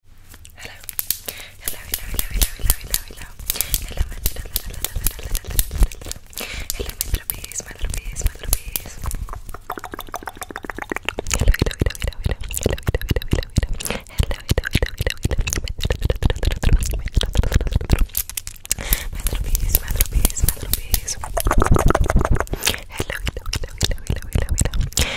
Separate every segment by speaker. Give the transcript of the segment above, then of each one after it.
Speaker 1: Hello. Hello, hello, hello, hello, hello, hello, hello, my little, little, little, little, little, little, little. Hello, my little bees, my little bees, my little bees. Hello, hello, hello, hello, hello, hello, hello, hello, hello, hello, hello, hello, my little bees, my little bees, my little bees. Hello, hello, hello, hello, hello, hello, hello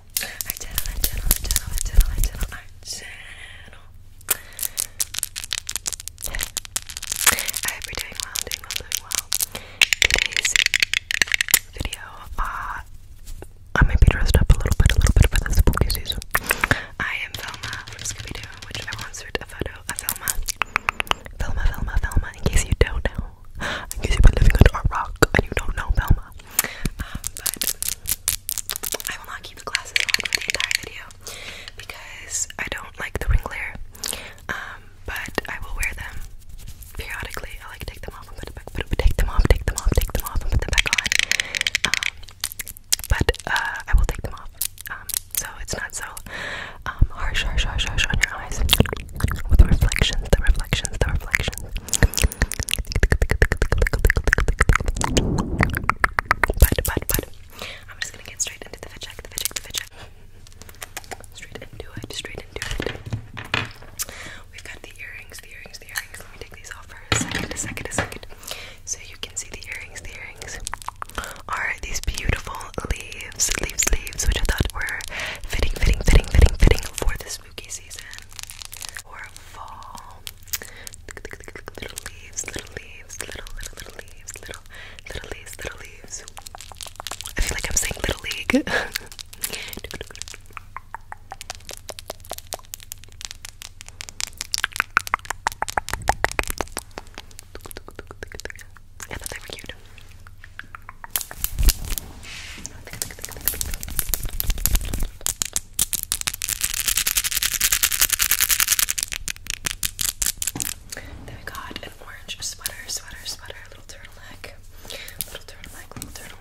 Speaker 1: channel, channel, our channel, our channel, our channel, our channel, our channel. I hope doing well, doing well, doing well. Today's video, uh, I might be dressed up a little bit, a little bit for the spooky season. I am Velma from Scooby Doo, which I once took a photo of Velma. Velma, Velma, Velma, in case you don't know. In case you've been living under a rock and you don't know Velma. Um, but I will not keep the glasses on the entire video because I don't like the ring glare. Um, but I will wear them periodically. I like take them off and put it back. Put it, take them off, take them off, take them off, put them back on. Um, but uh, I will take them off. so it's not so harsh, harsh, harsh, harsh on your eyes with reflections, the reflections, the reflections. I'm just gonna get straight into the fit check, the fit check, the fit check. Straight into it, straight into it. We've got the earrings, the earrings, the earrings. Let me take these off for a second, a second, a second. So you can see the earrings, the earrings are these beautiful leaves, leaves, leaves, which I thought were fitting, fitting, fitting, fitting, fitting for this spooky season or fall. Little leaves, little leaves, little, little, little leaves, little, little leaves, little leaves. I feel like I'm saying Little League. I thought they were cute. Then we got an orange sweater, sweater, sweater, little turtleneck, little turtleneck, little turtleneck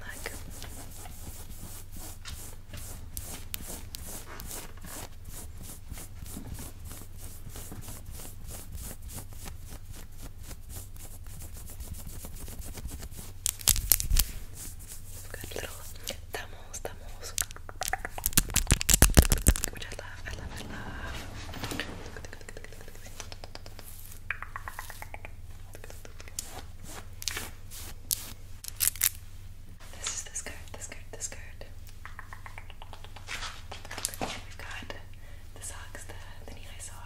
Speaker 1: we little thumbs, thumbs, which I love, I love, I love. This is this card, this card, this card. We've got the socks, the, the knee high socks.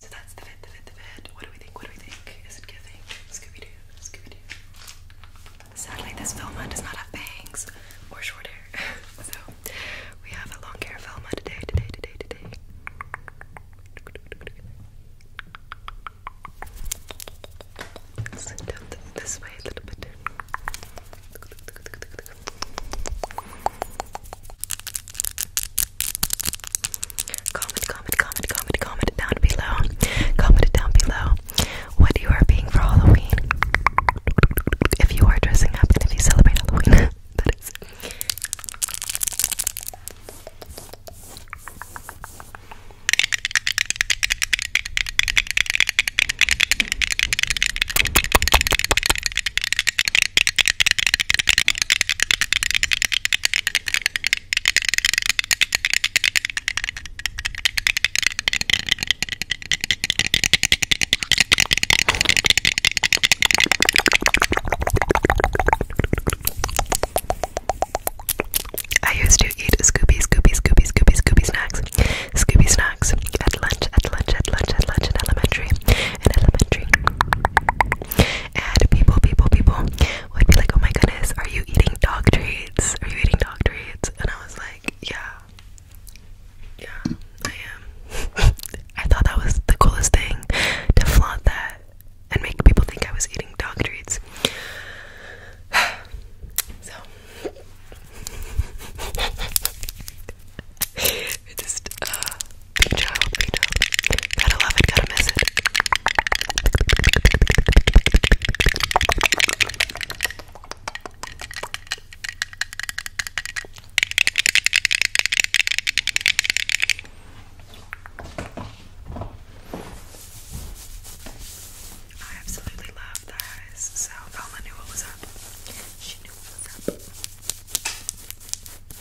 Speaker 1: So that's the fit, the fit, the fit. What do we think? What do we think? Is it giving? Scooby Doo, Scooby Doo. Sadly, this Velma does not have bangs or short hair. so we have a long hair Velma today, today, today, today. Sit down this way a little bit. Comment, comment, comment, comment, comment down below. Comment down below what you are being for Halloween. If you are dressing up and if you celebrate Halloween, that is. I used to eat Scooby, Scooby, Scooby, Scooby, Scooby snacks, Scooby snacks at lunch, at lunch, at lunch, at lunch in elementary, in elementary. And people, people, people would be like, oh my goodness, are you eating dog treats? Are you eating dog treats? And I was like, yeah. Yeah, I am. I thought that was the coolest thing to flaunt that and make people think I was eating dog treats. so just uh, Big child, Vito. Gotta love it, gotta miss it. I absolutely love those, so Paula knew what was up. She knew what was up.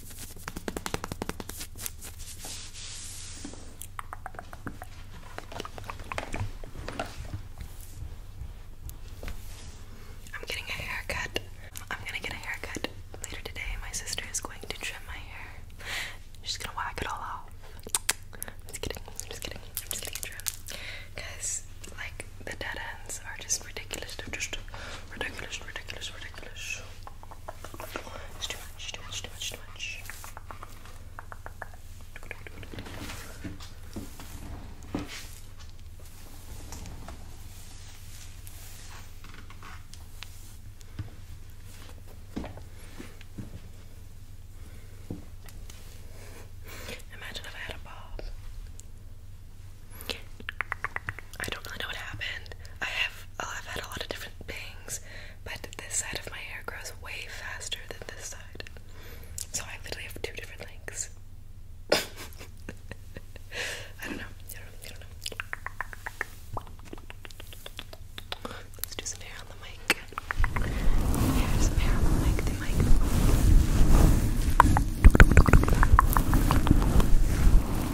Speaker 1: I'm getting a haircut. I'm gonna get a haircut later today. My sister is going to trim my hair. She's gonna whack it all off. just kidding. just kidding. just kidding. Trim, Like the dead ends are just ridiculous. Ridiculous, ridiculous, ridiculous. It's too much, too much, too much, too much. Imagine if I had a bob. I don't really know what happened. I have I've had a lot of different things, but this side of my hair grows way faster than this side. So I literally have two different lengths. I don't know. Let's do some hair on the mic. Yeah, some hair on the mic, the mic.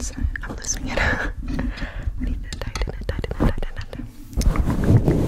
Speaker 1: Sorry, I'm losing it. I need to tighten it, tighten it, tighten it. Tighten it.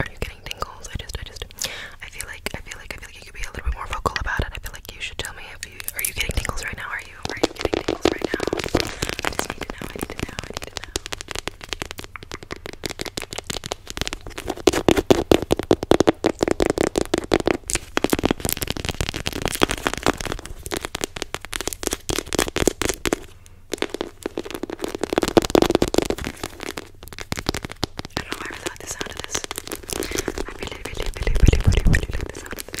Speaker 1: Are you getting tingles? I just, I just, I feel like, I feel like, I feel like you could be a little bit more vocal about it. I feel like you should tell me if you, are you getting tingles right now? Are you, are you getting tingles right now? I just need to know, I need to know, I need to know. I don't know why I really like the sound of this. I really, really, really, really, really, really like the sound of this.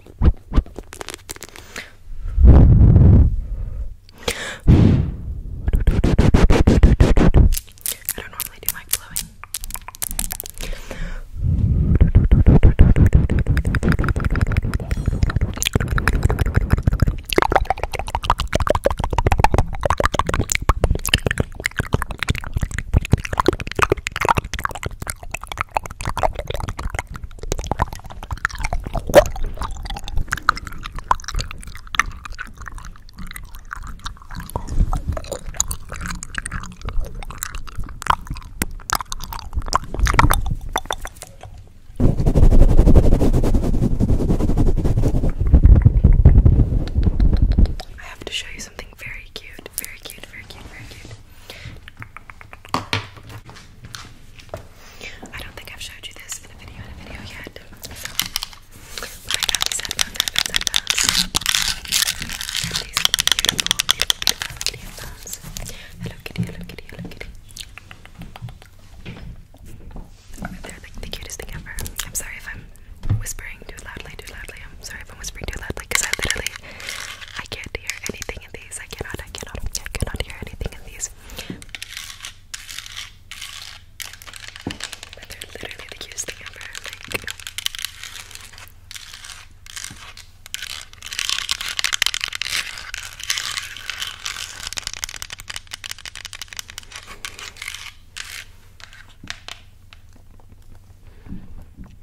Speaker 1: I don't normally do mic blowing. I have to show you something very cute, very cute, very cute, very cute. I don't think I've showed you this in a video in a video yet. So, but I got these headphones, headphones, headphones. These beautiful, beautiful, beautiful, beautiful headphones. Hello Kitty, hello Kitty, hello Kitty. They're like the cutest thing ever. I'm sorry if I'm whispering too loudly, too loudly. I'm sorry if I'm whispering too loudly because I literally I can't hear anything. I cannot, I cannot, I cannot hear anything in these. they're literally the cutest ever.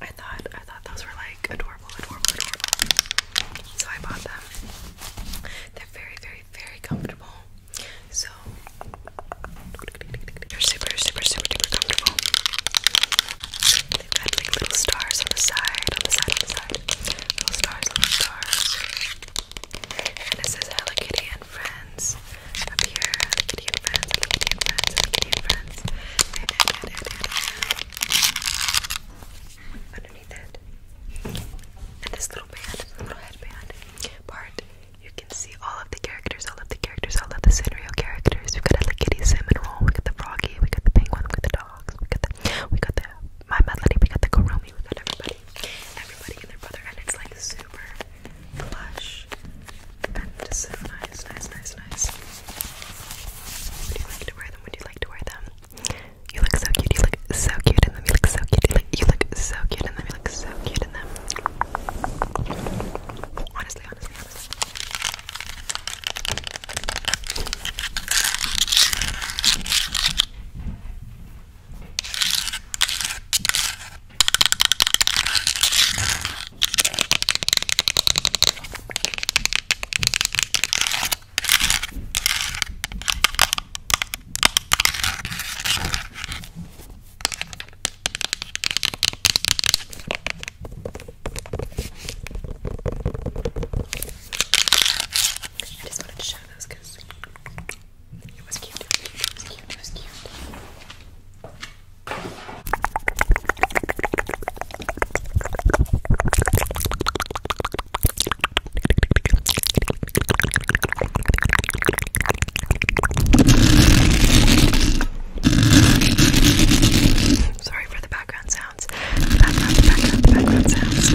Speaker 1: I thought I thought those were like adorable, adorable, adorable. So I bought them. They're very, very, very comfortable. So they're super, super, super, super comfortable. They've got like little stars on the side, on the side, on the side. Little stars, little stars. And it says Hello Kitty and Friends up here. Hello Kitty and Friends, Hello Kitty and Friends, Hello Kitty and Friends. And, and, and, and, underneath it. And this little band, little headband part, you can see all of the characters, all of the characters, all of the Sanrio characters. We've got a Kitty Seminole, we got the Froggy, we got the Penguin, we got the dogs, we got the, we got the My Melody, we got the Kurumi, we got everybody, everybody and their brother, and it's like super plush and just so nice nice, nice, nice, nice. Would you like to wear them? Would you like to wear them? You look so cute. You look so cute in them. You look so cute. You look, you look so cute in them. You look so cute in them. Honestly, honestly, honestly. I just wanted to show those because it was cute. It was cute. It was cute. It was cute. Sorry for the background sounds. The background, the background, the background sounds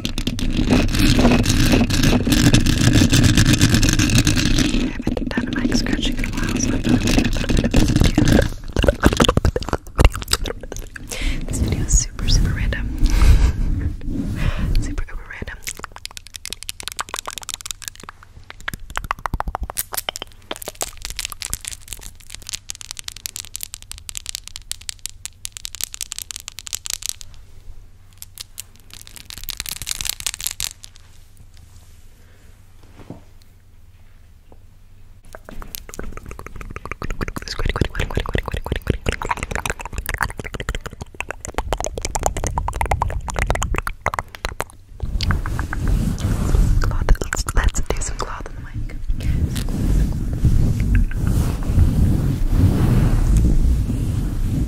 Speaker 1: haven't done a mic scratching in a while, so I'm going to do a little bit of this video. This video is super, super random. super, super random. Cloth, let's, let's do some cloth on the mic. Some cloth, some cloth.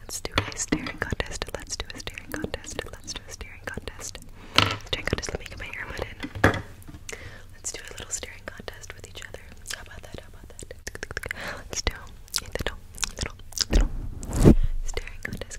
Speaker 1: Let's do a staring contest. Let's do a staring contest. Let's do a staring contest. Staring contest. Let me get my hair mud Let's do a little staring contest with each other. How about that? How about that? Let's do a little, little, little staring contest,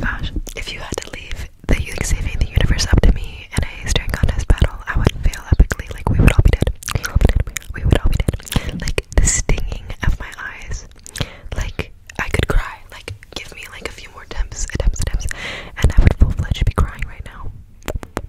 Speaker 1: Gosh, if you had to leave the like saving the universe up to me in a staring contest battle, I would fail epically. Like we would all be dead. We would all be dead. We would all be dead. Like the stinging of my eyes. Like I could cry. Like give me like a few more attempts, attempts, attempts, and I would full fledged be crying right now.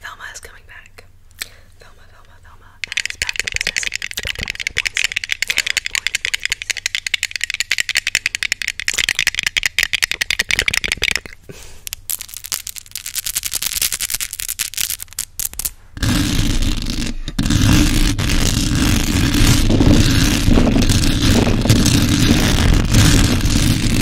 Speaker 1: Velma is coming back. Velma, Velma, Velma, and it's back in business.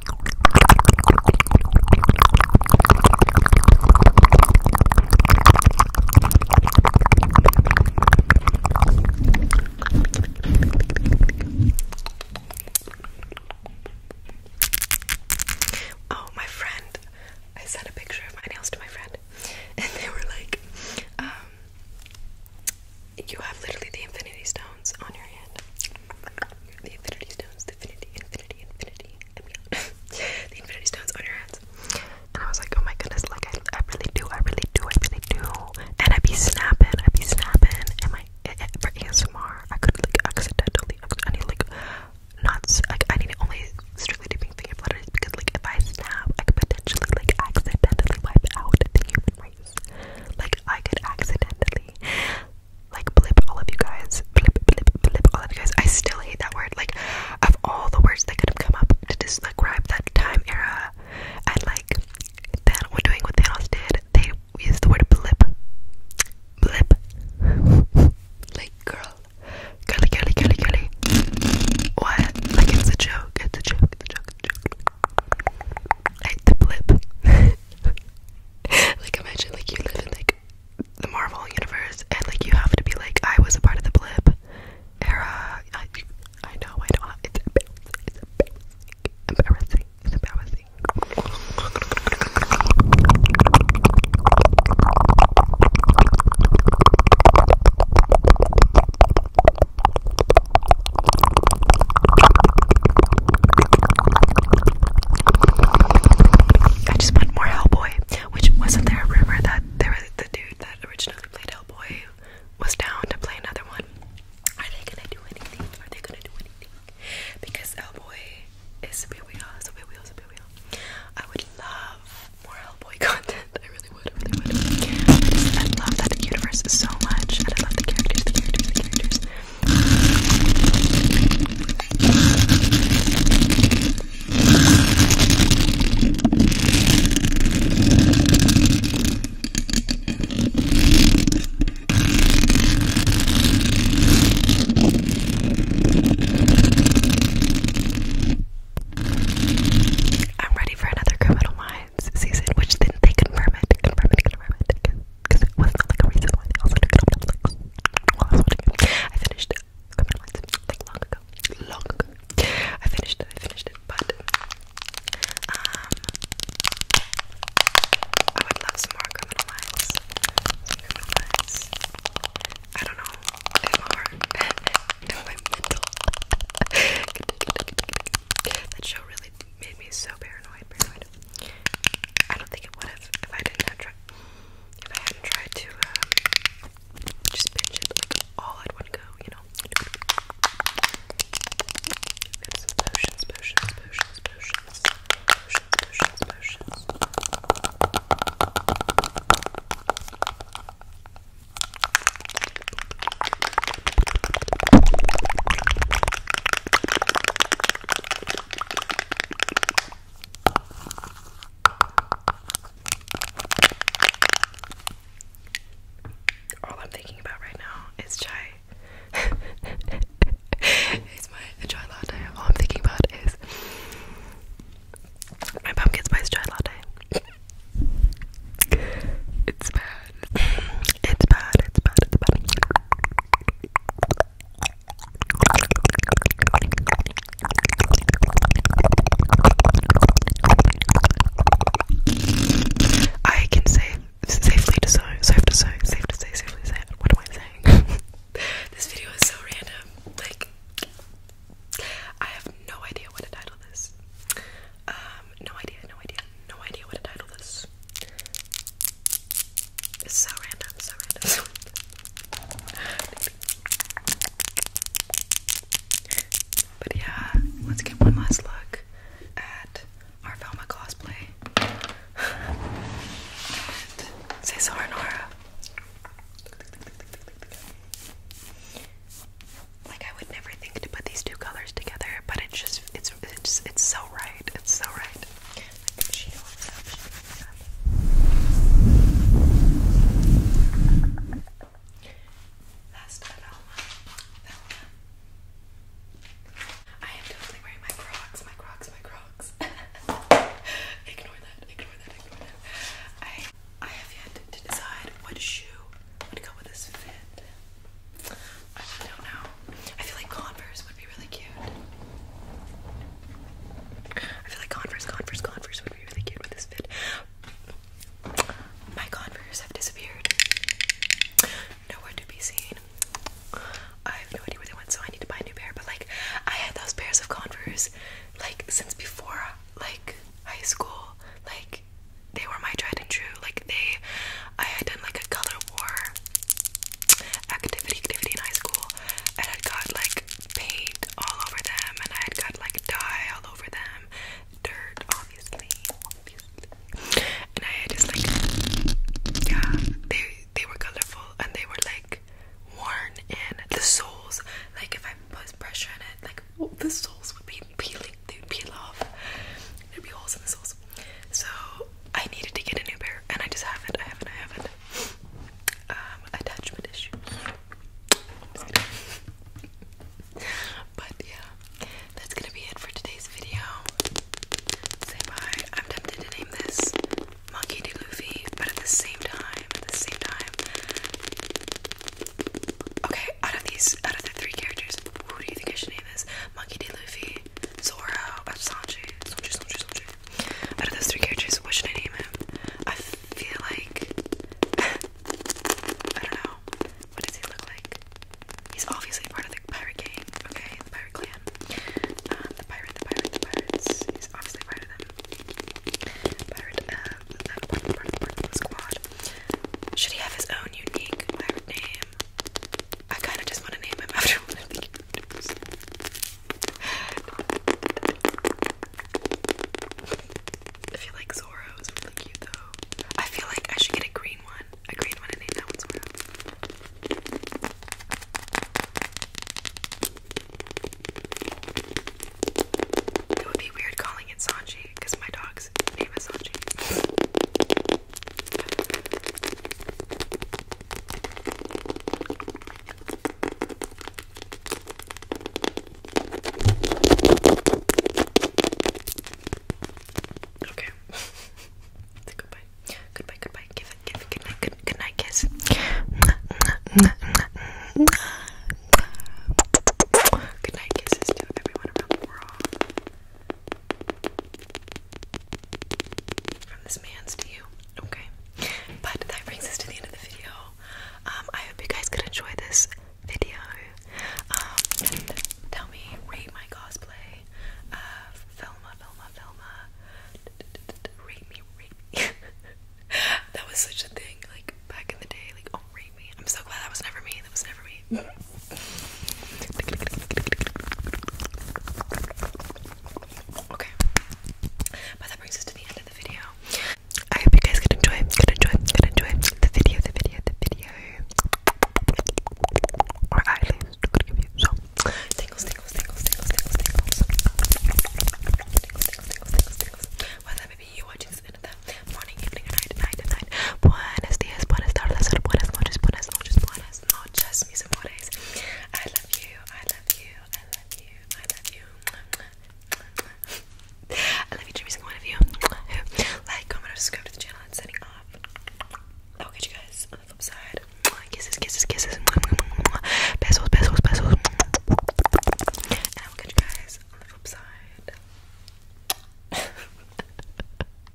Speaker 1: Oh, my friend. I sent a picture of my nails to my friend, and they were like, um, You have literally the infinity stones on your hand the infinity stones, the infinity, infinity, infinity, and beyond. the infinity stones on your hands. And I was like, oh my goodness, like I, I really do, I really do, I really do. And I'd be snapping, I'd be snapping, and my eh, eh, for ASMR, I could like accidentally, I need like not, like I need only strictly dipping finger flutters because like if I snap, I could potentially like accidentally wipe out the human race. Like I could accidentally like blip all of you guys. Blip, blip, blip all of you guys. I still hate that word. Like, of all the words that could have come up to describe that time era, and like, then we're doing what they all did. They use the word blip. Blip. like, girl. Girly, girly, girly, girly. What? Like, it's a joke. It's a joke. It's a joke. It's a joke. the blip. like, imagine, like, you live in, like, the Marvel universe, and like you have to be like, I was a part of the blip era. I, know, I know. It's embarrassing. It's embarrassing. I just want more Hellboy, which wasn't there a rumor that there was the dude that originally played Hellboy was down to play another one. Are they gonna do anything? Are they gonna do anything? Because Hellboy is a superhero, superhero, superhero. I would love more Hellboy content. I really would, I really would. I love that universe so much, I love the characters, the characters, the characters. I'm ready for another Criminal Minds season, which then they confirm it, confirm it, confirm it, because it was not like a recent one. I was it. finished Criminal Minds like long ago. Long ago. I finished it, I finished it, but um I would love some more Criminal Minds. Some criminal Minds. I don't know if my heart my mental that show really made me so paranoid, I don't think it would have if I didn't have If I hadn't tried to um, just pinch it all at one go, you know. All I'm thinking about right now is chai. it's my chai latte. All I'm thinking about is my pumpkin spice chai latte. it's bad. It's bad. It's bad. It's bad. I can say safely to say, safe to say, safe to say safely say what am I saying? this video is so random. Like I have no idea what to title this. Um, no idea, no idea, no idea what to title this. It's so random, so random, But yeah, let's get one last look at our Velma cosplay. say sorry, Nora. Like I would never think to put these two colors together, but it's just it's it's it's so right. It's so right. I think she always actually does that. I am totally wearing my Crocs, my Crocs, my Crocs. ignore that, ignore that, ignore that. I I have yet to decide what shoe would go with this fit. I don't know. I feel like Converse would be really cute. I feel like Converse, Converse, Converse would be really cute with this fit. My Converse have disappeared. Nowhere to be seen. I have no idea where they went, so I need to buy a new pair. But like, I had those pairs of Converse like since before like high school. Like, they were my tried and true. Like, they, I had done like a color war activity activity in high school and i got like paint all over them and I had got like dye all over them dirt obviously and I had just like yeah they they were colorful and they were like worn and the soles like if I put pressure on it like the soles would be peeling they'd peel off There'd be holes in the soles. So I needed to get a new pair, and I just haven't. I haven't. I haven't. Um, attachment issues. but yeah, that's gonna be it for today's video. Say bye. I'm tempted to name this Monkey D. Luffy, but at the same time, at the same time. Okay, out of these, out of the three characters, who do you think I should name this? Monkey D. Luffy, Zora, Sanji, Sanji, Sanji, Sanji. Out of those three characters, what should I name him? I feel like I don't know. What does he look like? He's obviously part of the pirate gang, okay? The pirate clan. Um, the pirate, the pirate, pirates. He's obviously part of them. Pirate, uh, part of the squad. Should he have his own unique pirate name? I kind of just want to name him after one of the characters. I feel like Zoro is really cute though. I feel like I should get a green one. A green one and name that one It would be weird calling it Sanji because my dog's name is Sanji. Okay. Say goodbye. Goodbye, goodbye. Give it, give it, good night, good, night kiss. Good night kisses to everyone from this man's to you. Okay. But that brings us to the end of the video. Um, I hope you guys could enjoy this video. Um, tell me, rate my cosplay. Uh, Velma, Velma, Velma. Rate me, rate me. that was such a thing, like, back in the day. Like, oh, rate me. I'm so glad that was never me. That was never me. Okay. But that brings us to the end of the video. I hope you guys could enjoy, could enjoy, could enjoy the video, the video, the video. Or at least could give you some tingles, tingles, tingles, tingles, tingles, tingles. Tingles, tingles, tingles, tingles, tingles. Whether that may be you watching this in the morning, evening, or night, night, night. Buenos dias, buenas tardes, buenas noches, buenas noches, buenas noches muchas, mis amores. I love you, I love you, I love you, I love you. I love each and every single one of you who like, comment, or subscribe to the channel. It's signing off. I'll catch you guys on the flip side. Kisses, kisses, kisses. Pesos, pesos, pesos. And I will catch you guys on the flip side.